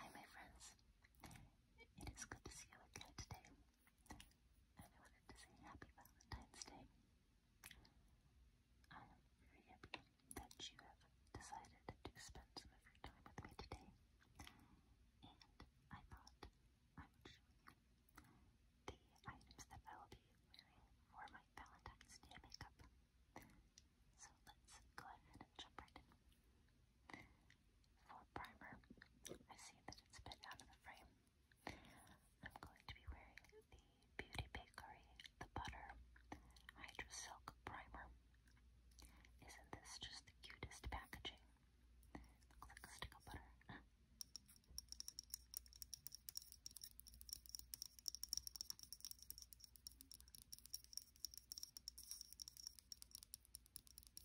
Hi my friends, it is good to see you again today, and I wanted to say happy Valentine's Day. I am very happy that you have decided to spend some of your time with me today, and I thought I would show you the items that I will be wearing for my Valentine's Day makeup. So let's go ahead and jump right in. For primer, I see that it's a bit out of the frame. I'm going to be wearing the Beauty Bakery The Butter Hydra Silk Primer. Isn't this just the cutest packaging? Looks like a stick of butter this is a, see if I can open it. This is a stick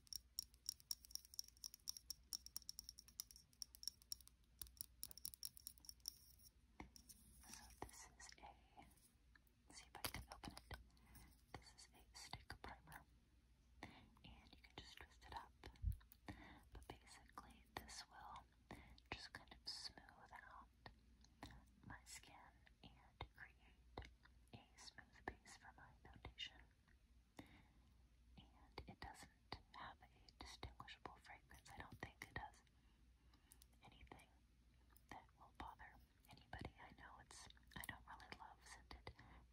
primer, and you can just twist it up. But basically, this will just kind of smooth out my skin and create a smooth base for my foundation. And it doesn't have a distinguishable fragrance. I don't think it does anything that will bother anybody. I know it's, I don't really love scented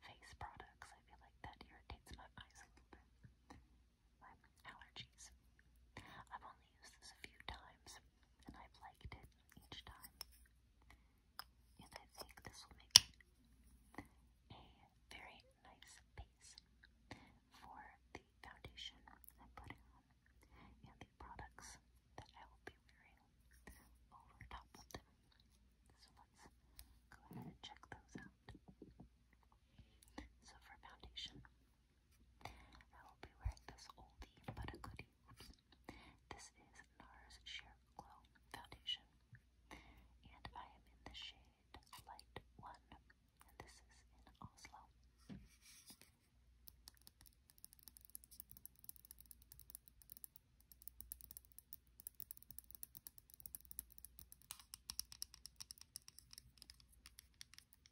face products. I feel like that irritates my eyes a little bit. My allergies only used this a few times, and I've liked it each time. And I think this will make a very nice base for the foundation I'm putting on and the products that I will be wearing over top of them. So let's go ahead and check those out. So for foundation, I will be wearing this oldie but a goodie. This is NARS Sheer Glow Foundation. And I am in the shade Light 1. And this is in Oslo. This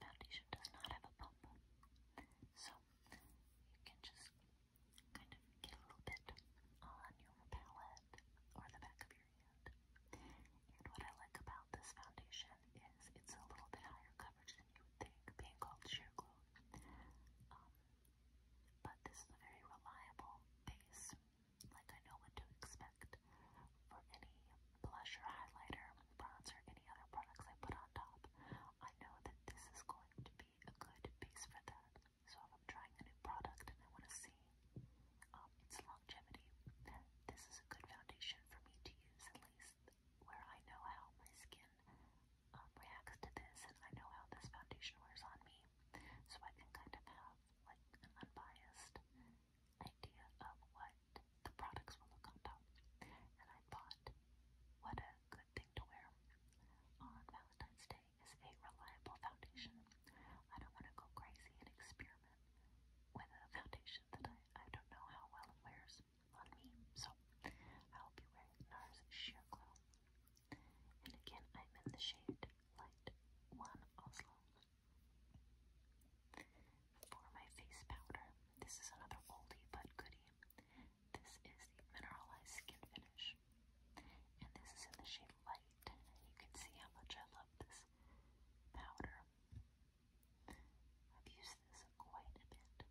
foundation does not have a pump, so you can just kind of get a little bit on your palette or the back of your hand. And what I like about this foundation is it's a little bit higher coverage than you would think, being called sheer glue. Um, but this is a very reliable base. Like I know what to expect for any blush or highlighter, bronzer, any other products I put on top. I know that this is going to be a good base for that. So if I'm trying a new product and I want to see um, its longevity, this is a good foundation for me to use where I know how my skin um, reacts to this, and I know how this foundation wears on me, so I can kind of have like an unbiased idea of what the products will look on top. And I thought, what a good thing to wear on Valentine's Day is a reliable foundation. I don't want to go crazy and experiment with a foundation that I, I don't know how well it wears on me, so I'll be wearing NARS Sheer Glow. And again, I'm in the shade Light 1 Oslo. For my face powder, this is another oldie but goodie. This is the Mineralized Skin Finish. And this is in the shade Light. You can see how much I love this powder. I've used this quite a bit.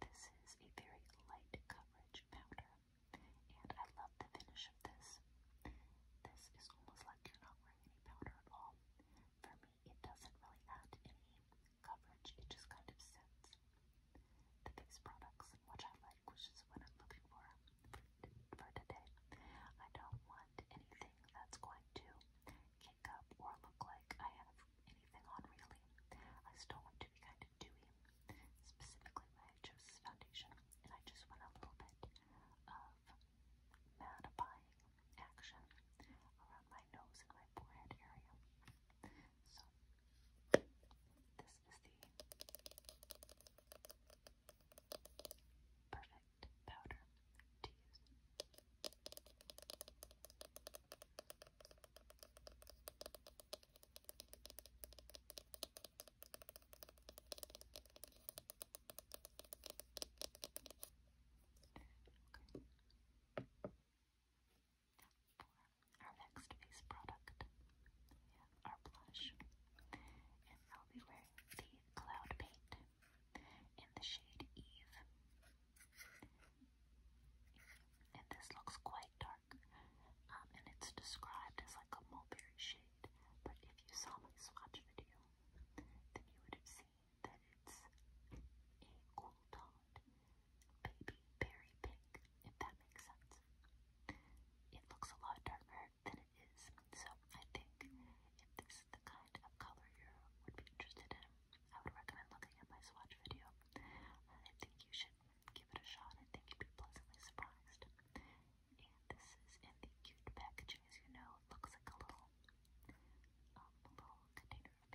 This is a very light coverage powder, and I love the finish of this. This is almost like you're not wearing any powder at all. For me, it doesn't really add any coverage, it just kind of sets the face products, which I like, which is what I'm looking for for today. I don't want anything anything that's going to kick up or look like I have anything on really. I still want to be kind of dewy, specifically my Joseph's foundation, and I just want a little bit of mattifying action around my nose and my forehead area. So this is the perfect powder to use. For our next face product, our blush, and I'll be wearing the Cloud Paint in the shade Eve. And this looks quite dark, um, and it's described as like a mulberry shade. But if you saw my swatch video, then you would have seen that it's a cool toned baby berry pink, if that makes sense. It looks a lot darker than it is. So I think if this is the kind of color you would be interested in, I would recommend looking at my swatch video. I think you should give it a shot. I think you'd be pleasantly surprised. And this is in the cute packaging, as you know. looks like a little, um, little container of paint.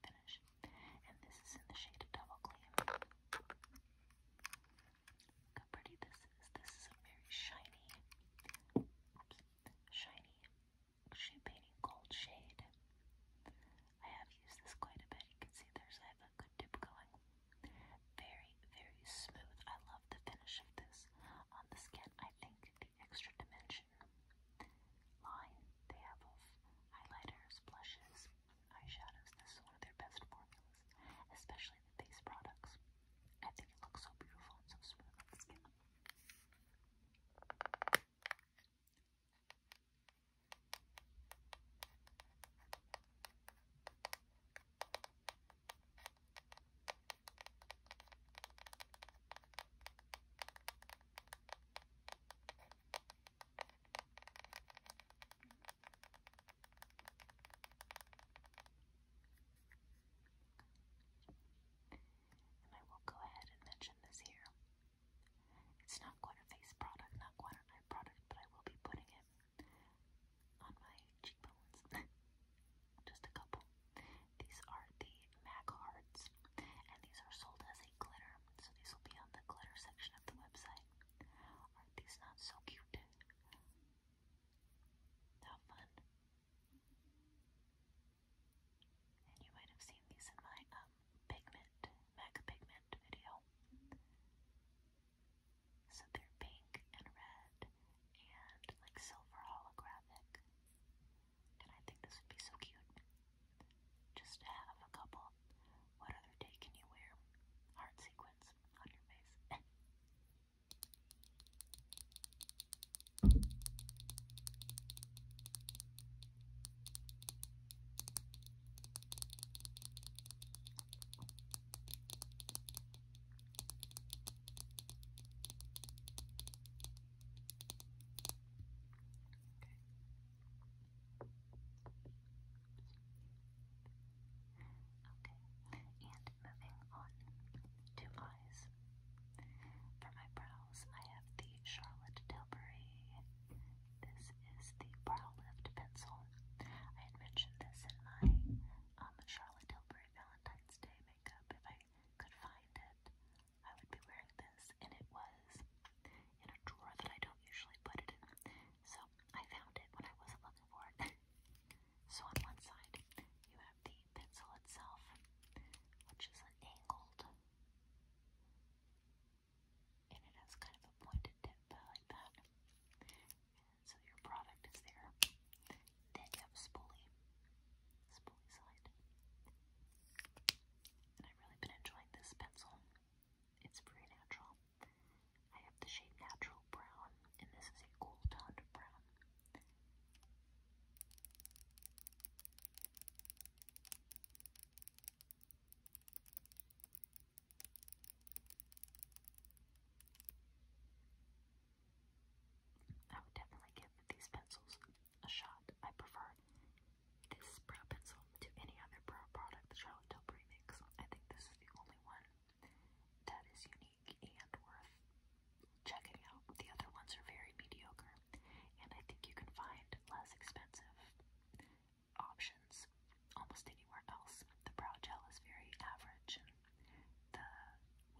finish. And this is in the shade of Double Gleam. how pretty this is. This is a very shiny, shiny champagne gold shade. I have used this quite a bit. You can see there's I have a good dip going. Very, very smooth. I love the finish of this on the skin. I think extra dimension. Line they have highlighters, blushes, eyeshadows. This is one of their best formulas, especially the face products. I think it looks so beautiful and so smooth on the skin. And I will go ahead and mention this here. It's not quite a face product, not quite an eye product, but I will be putting it on my cheekbones. Just a couple. These are the MAC hearts, and these are sold as a glitter, so these will be on the glitter section of the website. are these not so cute? How fun! And you might have seen these in my um, pigment, MAC pigment video. So they're pink and red and like silver holographic. And I think this would be so cute. Just to have a couple. What other day can you wear heart sequins on your face? Okay, and moving on to eyes. For my brows, I have the Charlotte Tilbury. This is the Brow Lift Pencil. I had mentioned this in my um, Charlotte Tilbury Valentine's Day makeup if I could find it. I would be wearing this, and it was in a drawer that I don't usually put it in. So I found it when I wasn't looking for it. so on one side, you have the pencil itself, which is an angled, and it has kind of a pointed tip uh, like that. so your product is there. Then you have spoolie, spoolie side. And I've really been enjoying this pencil. It's very natural. I have the shade Natural Brown, and this is a cool toned brown. I would definitely give these pencils a shot. I prefer this brow pencil to any other brow product, Charlotte Tilbury makes. I think this is the only one that is unique and worth checking out. The other ones are very mediocre, and I think you can find less expensive options almost anywhere else. The brow gel is very average, and the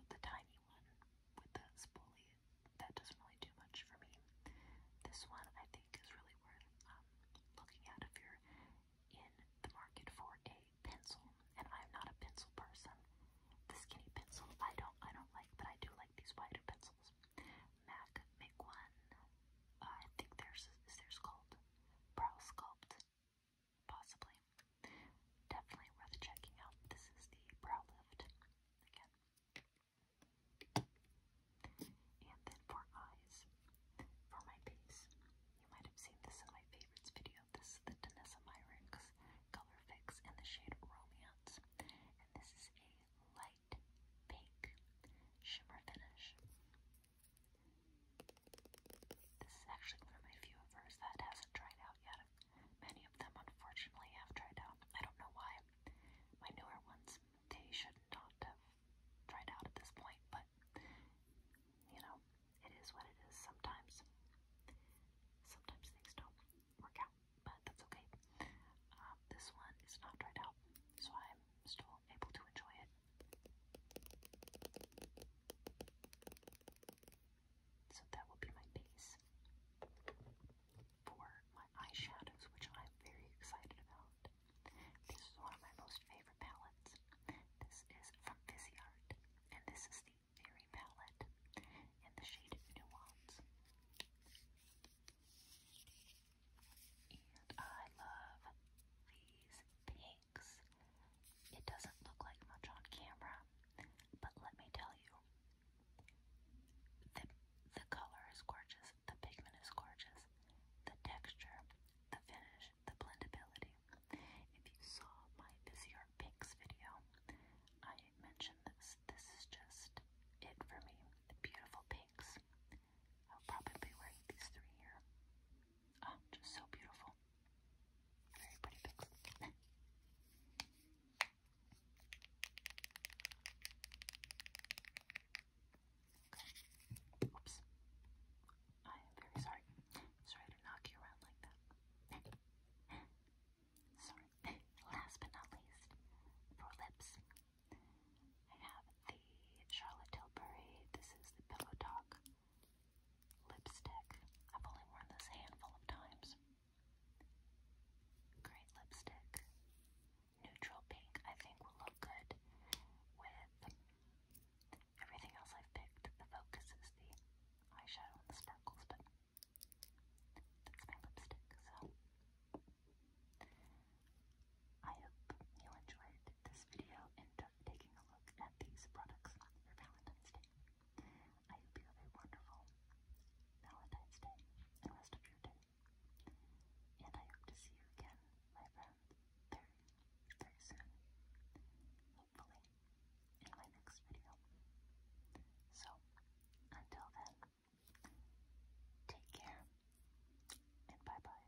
the tiny one with the spoolie, that doesn't really do much for me. This one I think is really worth um, looking at if you're in the market for a pencil. And I'm not a pencil person. The skinny pencil I don't I don't like, but I do like these wider pencils. Mac make one. I think theirs is theirs called Brow Sculpt possibly. Definitely worth checking out. This is the brow lift again. And then for eyes, for my base, you might have seen this in my favorites video. This is the Danessa Myricks Color Fix in the shade Romance. And this is a light pink shimmer finish. This is actually one of my few of hers that hasn't dried out yet. I've Many of them, unfortunately, have dried out. I don't know why. My newer ones, they should not have dried out at this point, but you know, it is what it is sometimes. Sometimes things don't work out, but that's okay. Um, this one is not dried out, so I'm still able to enjoy it. So that will be my base for my eyeshadows, which I'm very excited about. This is one of my most favorite palettes. This is from Viseart, and this is the Fairy palette in the shade Nuance. And I love these pink it doesn't look like much on camera, but let me tell you, the, the color is gorgeous, the pigment is gorgeous, the texture, the finish, the blendability. If you saw my Viseart Pinks video, I mentioned this. This is just it for me. The beautiful pinks. I'll probably be wearing these three here. Oh, just so beautiful. Very Oops. I am very sorry. Sorry to knock you around like that. sorry. Last but not least, for lips, I have the Charlotte Tilbury. This is the Pillow Talk Lipstick. I've only worn this handful of times. Great lipstick. Neutral pink, I think, will look good with everything else I've picked. The focus is the eyeshadow and the sparkles, but that's my lipstick, so. I hope you enjoyed this video and taking a look at these products for Valentine's Day. I hope you have a wonderful Valentine's Day and rest of your day. And I hope to see you again, my friend, very, very soon. Hopefully, in my next video. So, until then, take care and bye bye.